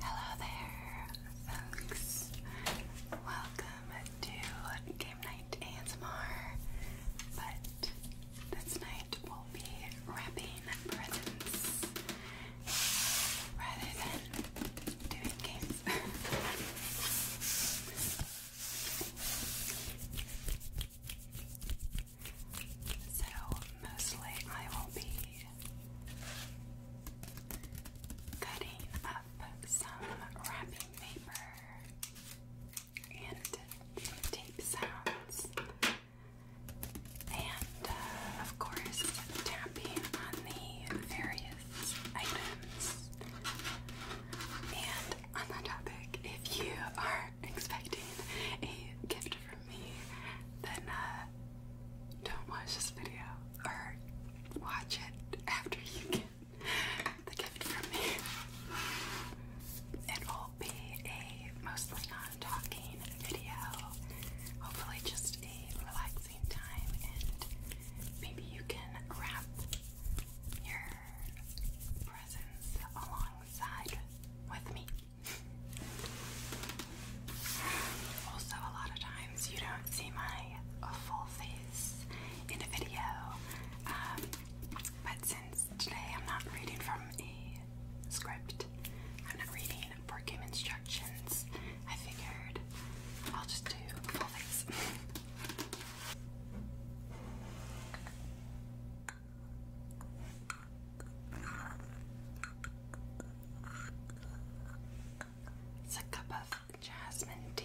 Hello there, folks. Welcome to Game Night ASMR. But this night we'll be wrapping presents rather than doing games. so, mostly I will be cutting up some wrapping paper and tape sounds, and uh, of course, tapping on the various items. And on that topic, if you are expecting a gift from me, then uh, don't watch this video or watch it after you get the gift from me. It will be a mostly non-talking video. Hopefully just a relaxing time and maybe you can wrap your presents alongside with me. Also, a lot of times you don't see my full face in a video, um, but since today I'm not reading from a script, I'm not reading board game instructions, I figured I'll just do full face. It's a cup of jasmine tea.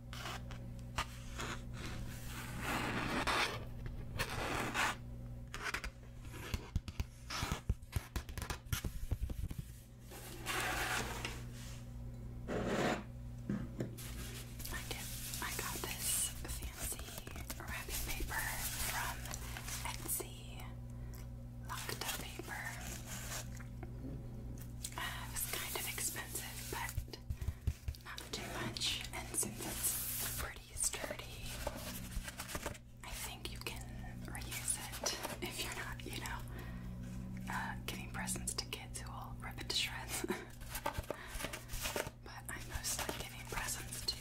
I did. I got this fancy wrapping paper from Etsy. Lacta paper. Uh, it was kind of expensive, but not too much, and since it's pretty sturdy, I think you can reuse it if you're not, you know, uh, giving presents to kids who will rip it to shreds. but i mostly giving presents to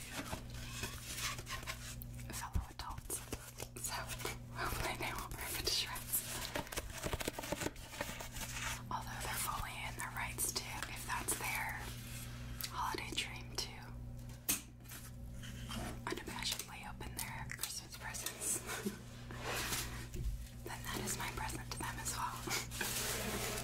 fellow adults, so hopefully they won't rip it to shreds. Although they're fully in their rights to, if that's their holiday dream too, unabashedly open their Christmas presents, then that is my present to them as well.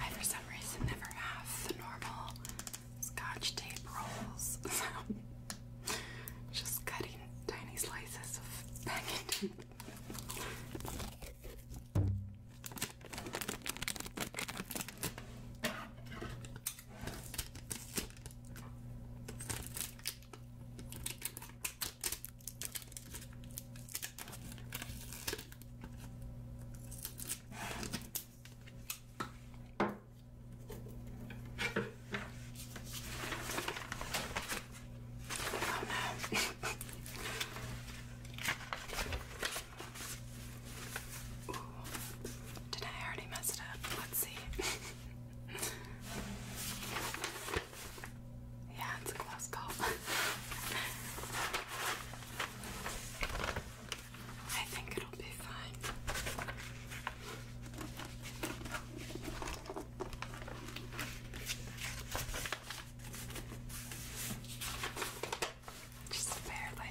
I, for some reason, never have the normal scotch tape rolls, so just cutting tiny slices of no. Ooh. Did I already mess it up? Let's see. Yeah, it's a close call. I think it'll be fine. Just barely.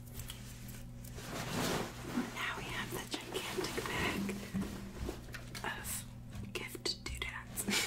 Now we have the gigantic bag of gift doodads.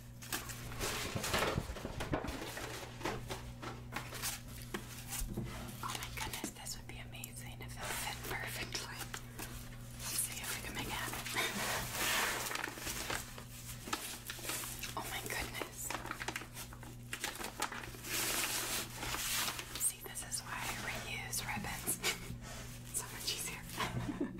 Oh my goodness, this would be amazing if it fit perfectly. Let's see if we can it oh my goodness. See, this is why I reuse ribbons. so much easier.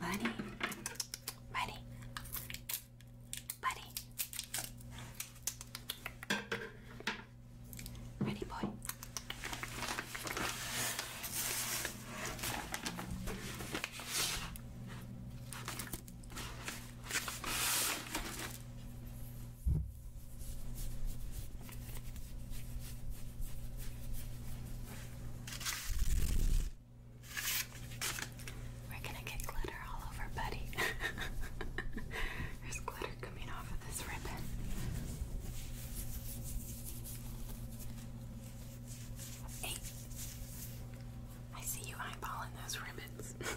Money, money, money. Ready, boy. We're gonna get glitter all over Buddy. There's glitter coming off of this ribbon. Hey, I see you eyeballing those ribbons.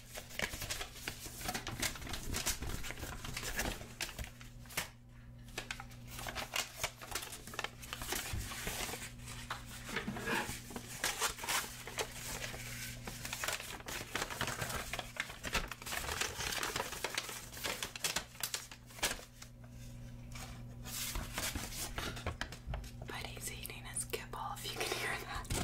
But he's eating his kibble if you can hear that.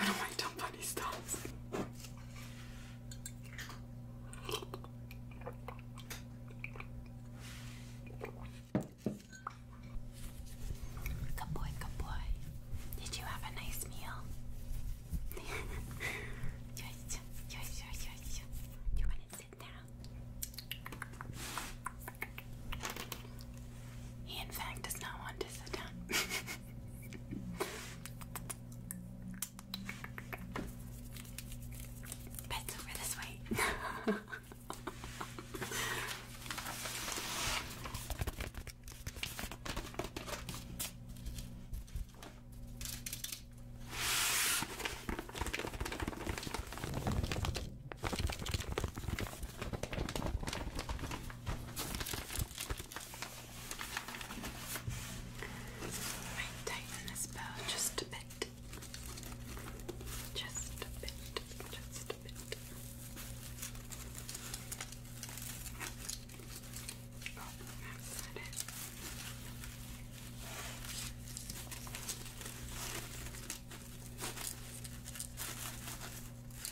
I don't like dumb funny stuff. Good boy, good boy. Did you have a nice meal? Do you want to sit down? He, in fact, does not want to sit down. Bets over this way. I tighten this bow just a bit. Just a bit. Just a bit.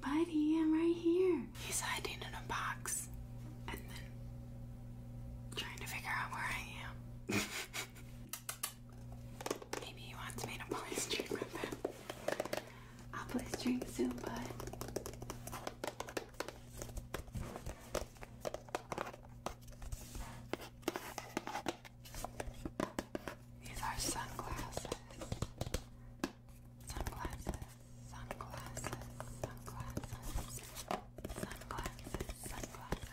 Buddy, I'm right here. He's hiding in a box and then trying to figure out where I am. Maybe he wants me to play his drink with I'll play his drink soon, bud. These are sunglasses. Sunglasses, sunglasses, sunglasses, sunglasses, sunglasses, sunglasses.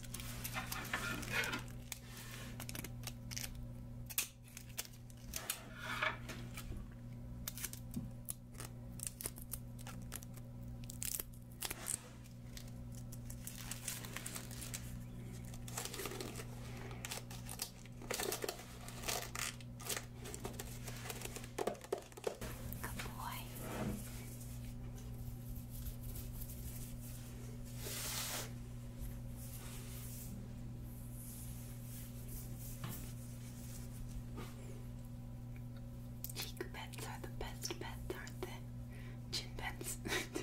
Good boy. Cheek beds are the best beds, aren't they? Chin pets, too.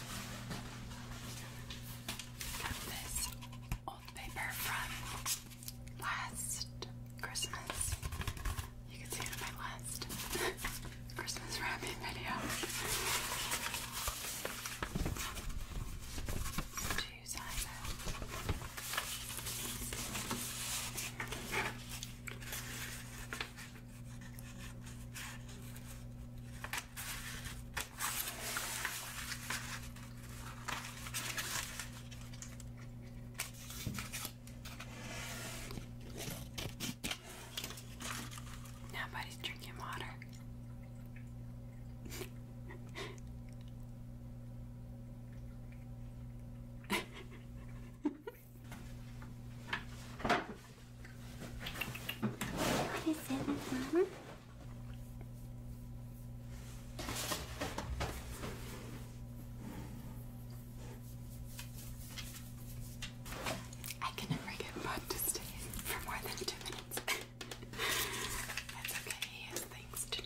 this old paper from last Christmas. You can see it in my last Christmas wrapping video. Two sizes. Nobody's drinking water. What is it, Mama? I can never get Bud to stay for more than two minutes. That's okay, he has things to do.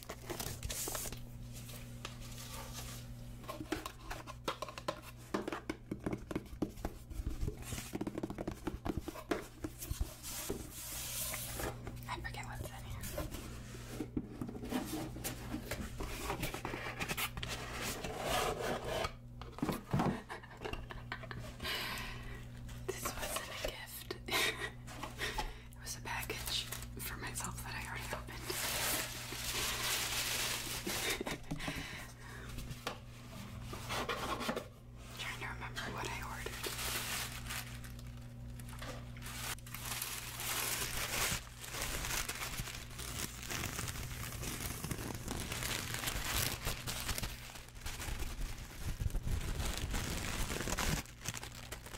I forget what's in here. this wasn't a gift. It was a package for myself that I already opened. trying to remember what I ordered.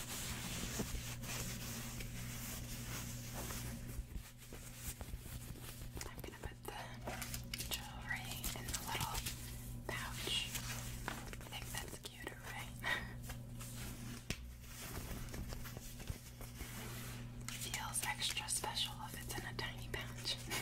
I'm gonna put the jewelry in the little pouch. I think that's cuter, right? Feels extra special if it's in a tiny pouch.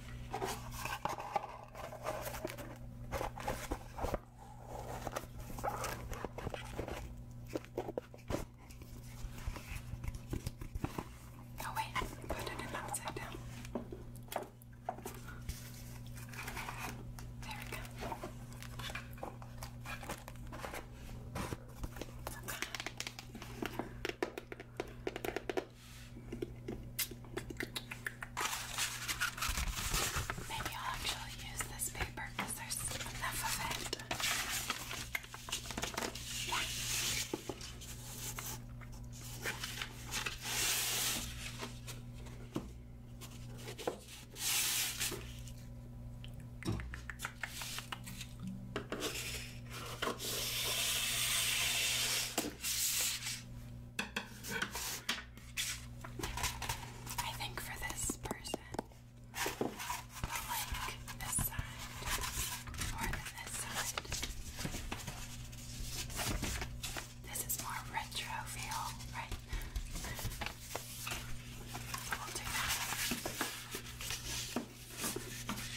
Oh wait, put it in upside down. There we go. Okay. Maybe I'll actually use this paper because there's enough of it. I think for this person, I like this side more than this side. This is more retro feel, right? We'll do that.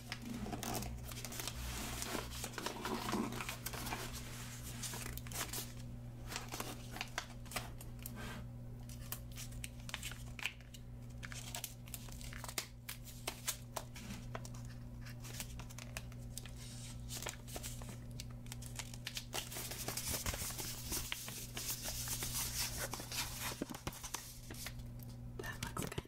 That looks good.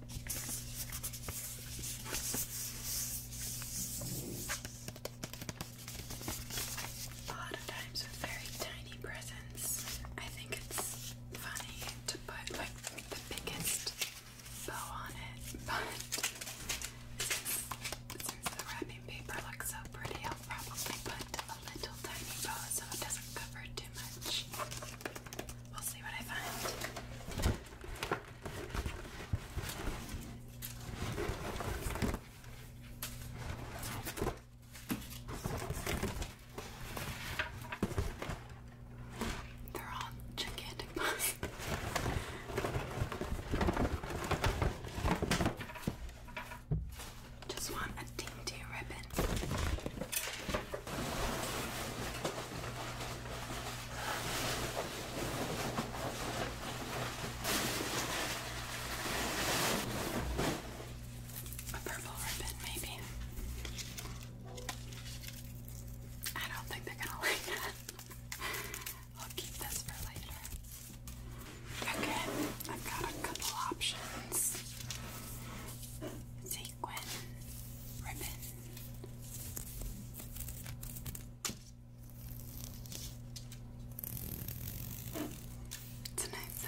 A lot of times with very tiny presents, I think it's funny to put like the biggest bow on it, but since, the wrapping paper looks so pretty, I'll probably put a little tiny bow so it doesn't cover too much. We'll see what I find. They're all gigantic bugs. Just want a dainty ribbon. A purple ribbon, maybe. I don't think they're gonna like that. I'll keep this for later. Okay, I've got a couple options. Sequin, ribbon, it's a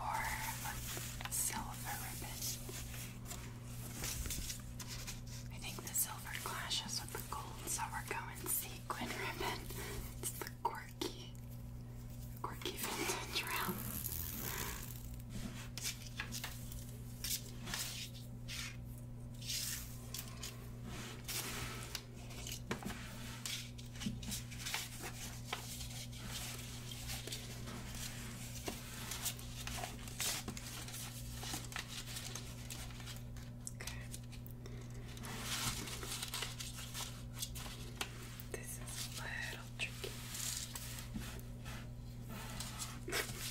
or silver ribbon. I think the silver clashes with the gold, so we're going sequin ribbon. It's the quirky, quirky vintage round. Okay. This is a little tricky.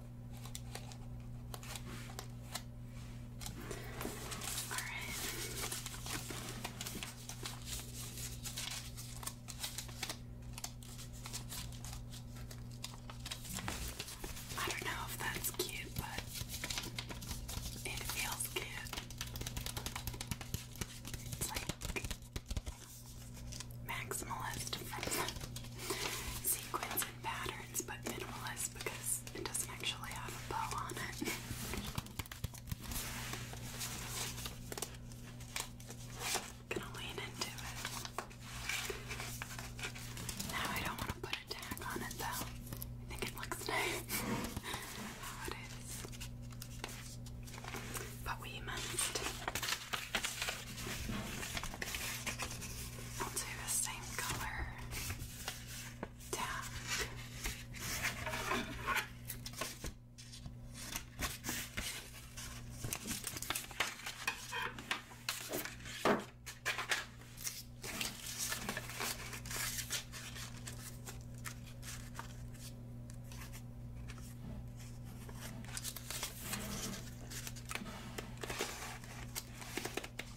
All right. I don't know if that's cute, but it feels good. It's like maximalist from patterns, but minimalist because it doesn't actually have a bow on it. Gonna lean into it. Now I don't want to put a tag on it though. I think it looks nice how it is. But we must I'll do the same color down.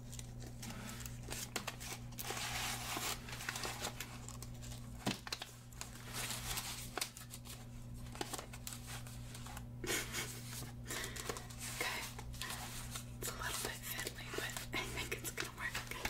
okay, it's a little bit fiddly, but I think it's gonna work. Okay.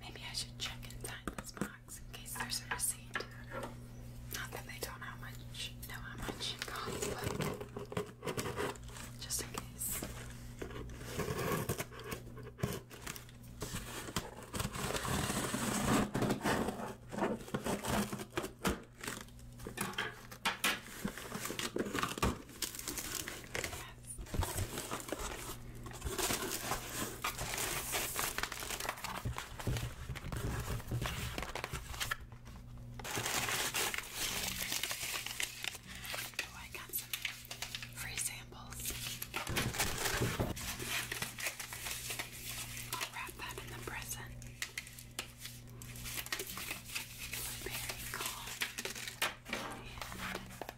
Maybe I should check inside this box in case there's a receipt. Not that they don't how much know how much it costs, but just in case. Yes. Oh, I got some free samples. I'll wrap that in the present. Blueberry gall and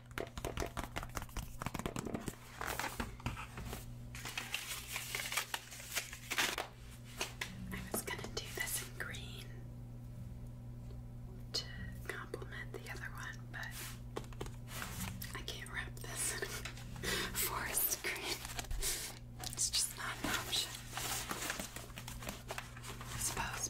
I was going to do this in green to complement the other one, but I can't wrap this in forest green. It's just not an option. Suppose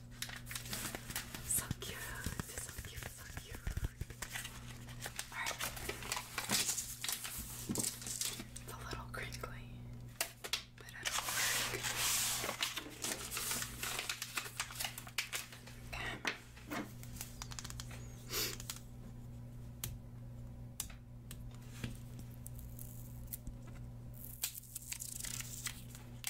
So cute, so cute, so cute. It's a little crinkly, but it'll work. Um.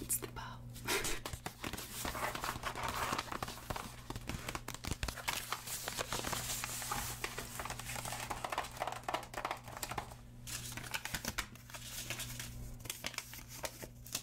it's the bow.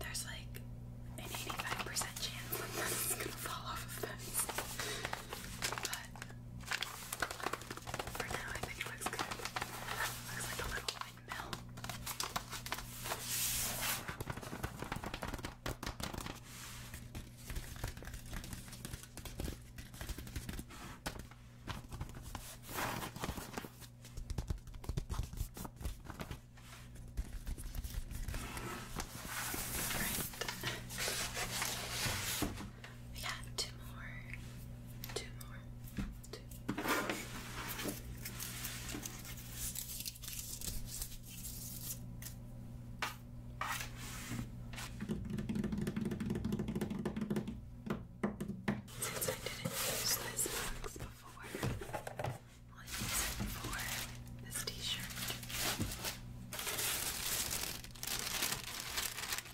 There's like an 85% chance this is gonna fall off of this but for now I think it looks good. looks like a little windmill. Right. We got two more. Two more. Two. Since I didn't use this box before, I'll use it for this t-shirt. It's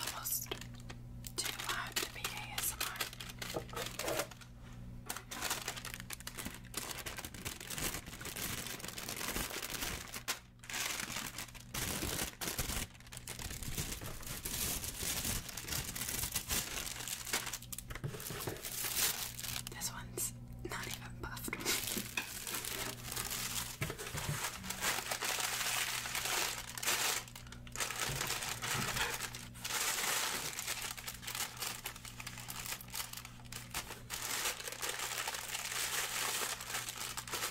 almost too loud to be ASMR. This one's not even puffed.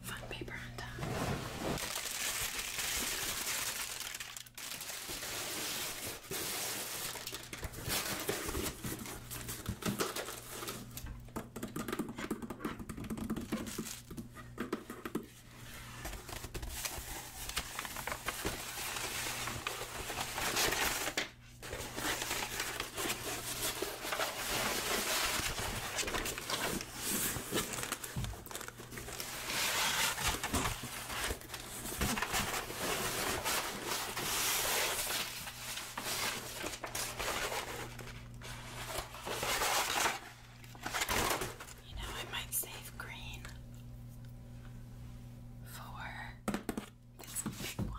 fun paper on top. You know, I might save green for this big one.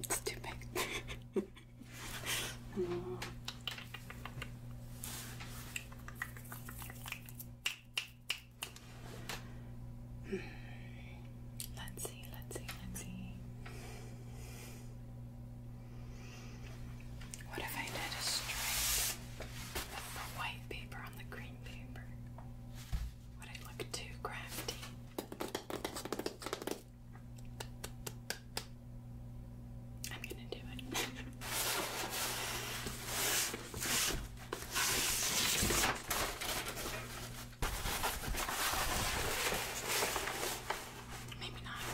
It's too big. Let's see, let's see, let's see. What if I did a stripe of the white paper on the green paper? Would I look too crafty? I'm gonna do it. Maybe not.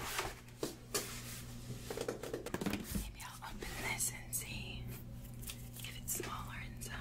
Maybe I'll open this and see if it's smaller inside.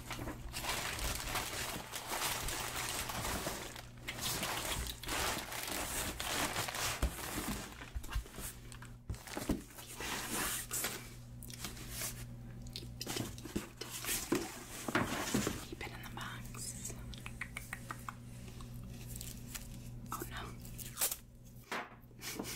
Keep it in the box. Oh no.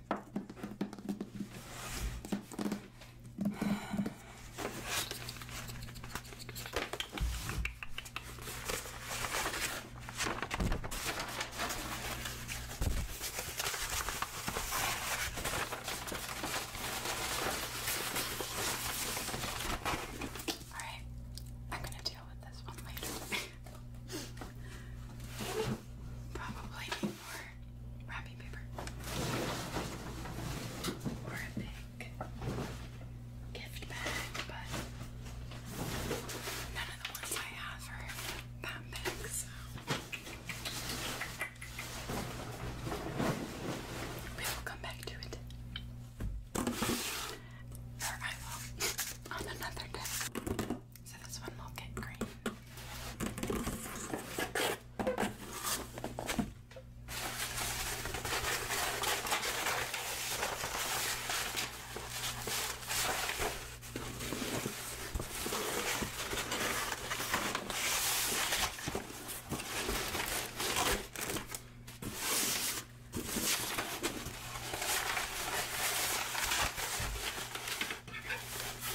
Alright, I'm gonna deal with this one later. probably need more wrapping paper or a big gift bag, but none of the ones I have are that big, so we will come back to it. on another day. So this one will get green.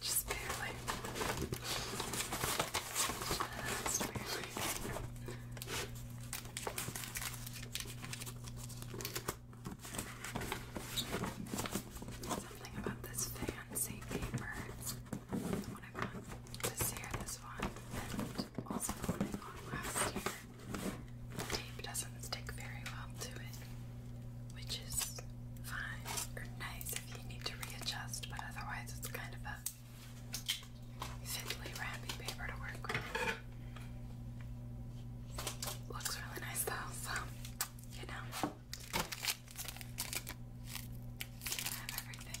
Just barely. Something about this fancy paper. I got this year, this one, also the I got last year. The tape doesn't stick very well to it, which is fine or nice if you need to readjust, but otherwise it's kind of a thinly wrapping paper to work with. Looks really nice though, so you know. I have everything.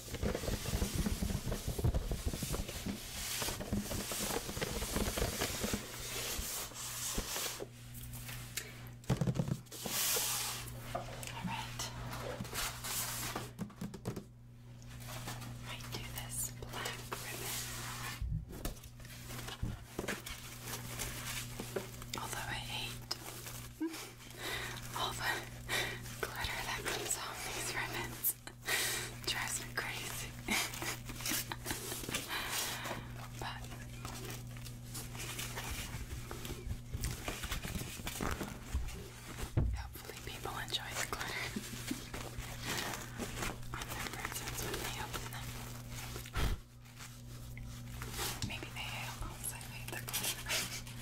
All right. I do this black ribbon. Although I hate all the glitter that comes off these ribbons drives me crazy. hopefully people enjoy the glitter on their presents when they open them. Maybe they all say the glitter.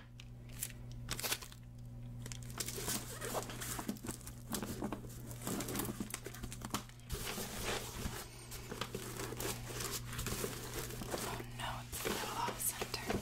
Oh no, it's a little off center.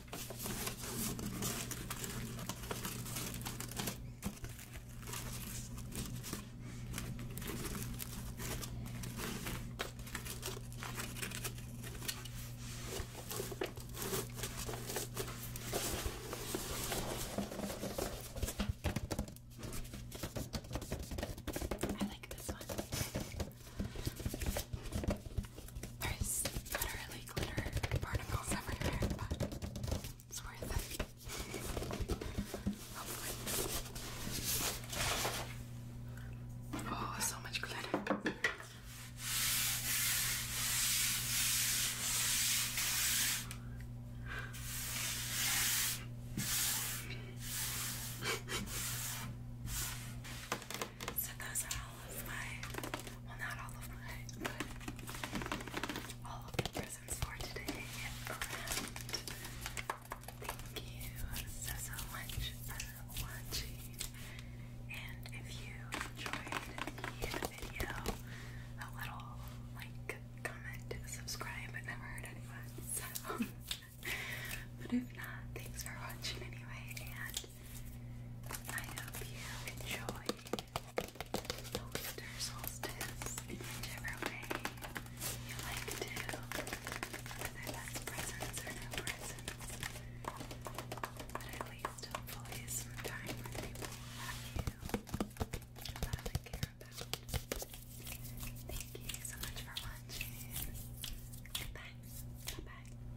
I like this one. There's literally glitter particles everywhere, but it's worth it. Oh, so much glitter. so those are all of my, well, not all of my, all of the presents for today Thank you so, so much for watching. And if you enjoyed the video, a little like, comment, subscribe, but never hurt anyone. but if not, thanks for watching anyway, and I hope you enjoy the winter solstice in whichever way you like to, whether that's presents or no presents. at least, hopefully, some time with people love you, love and care about. Thank you so much for watching. Goodbye. Bye bye.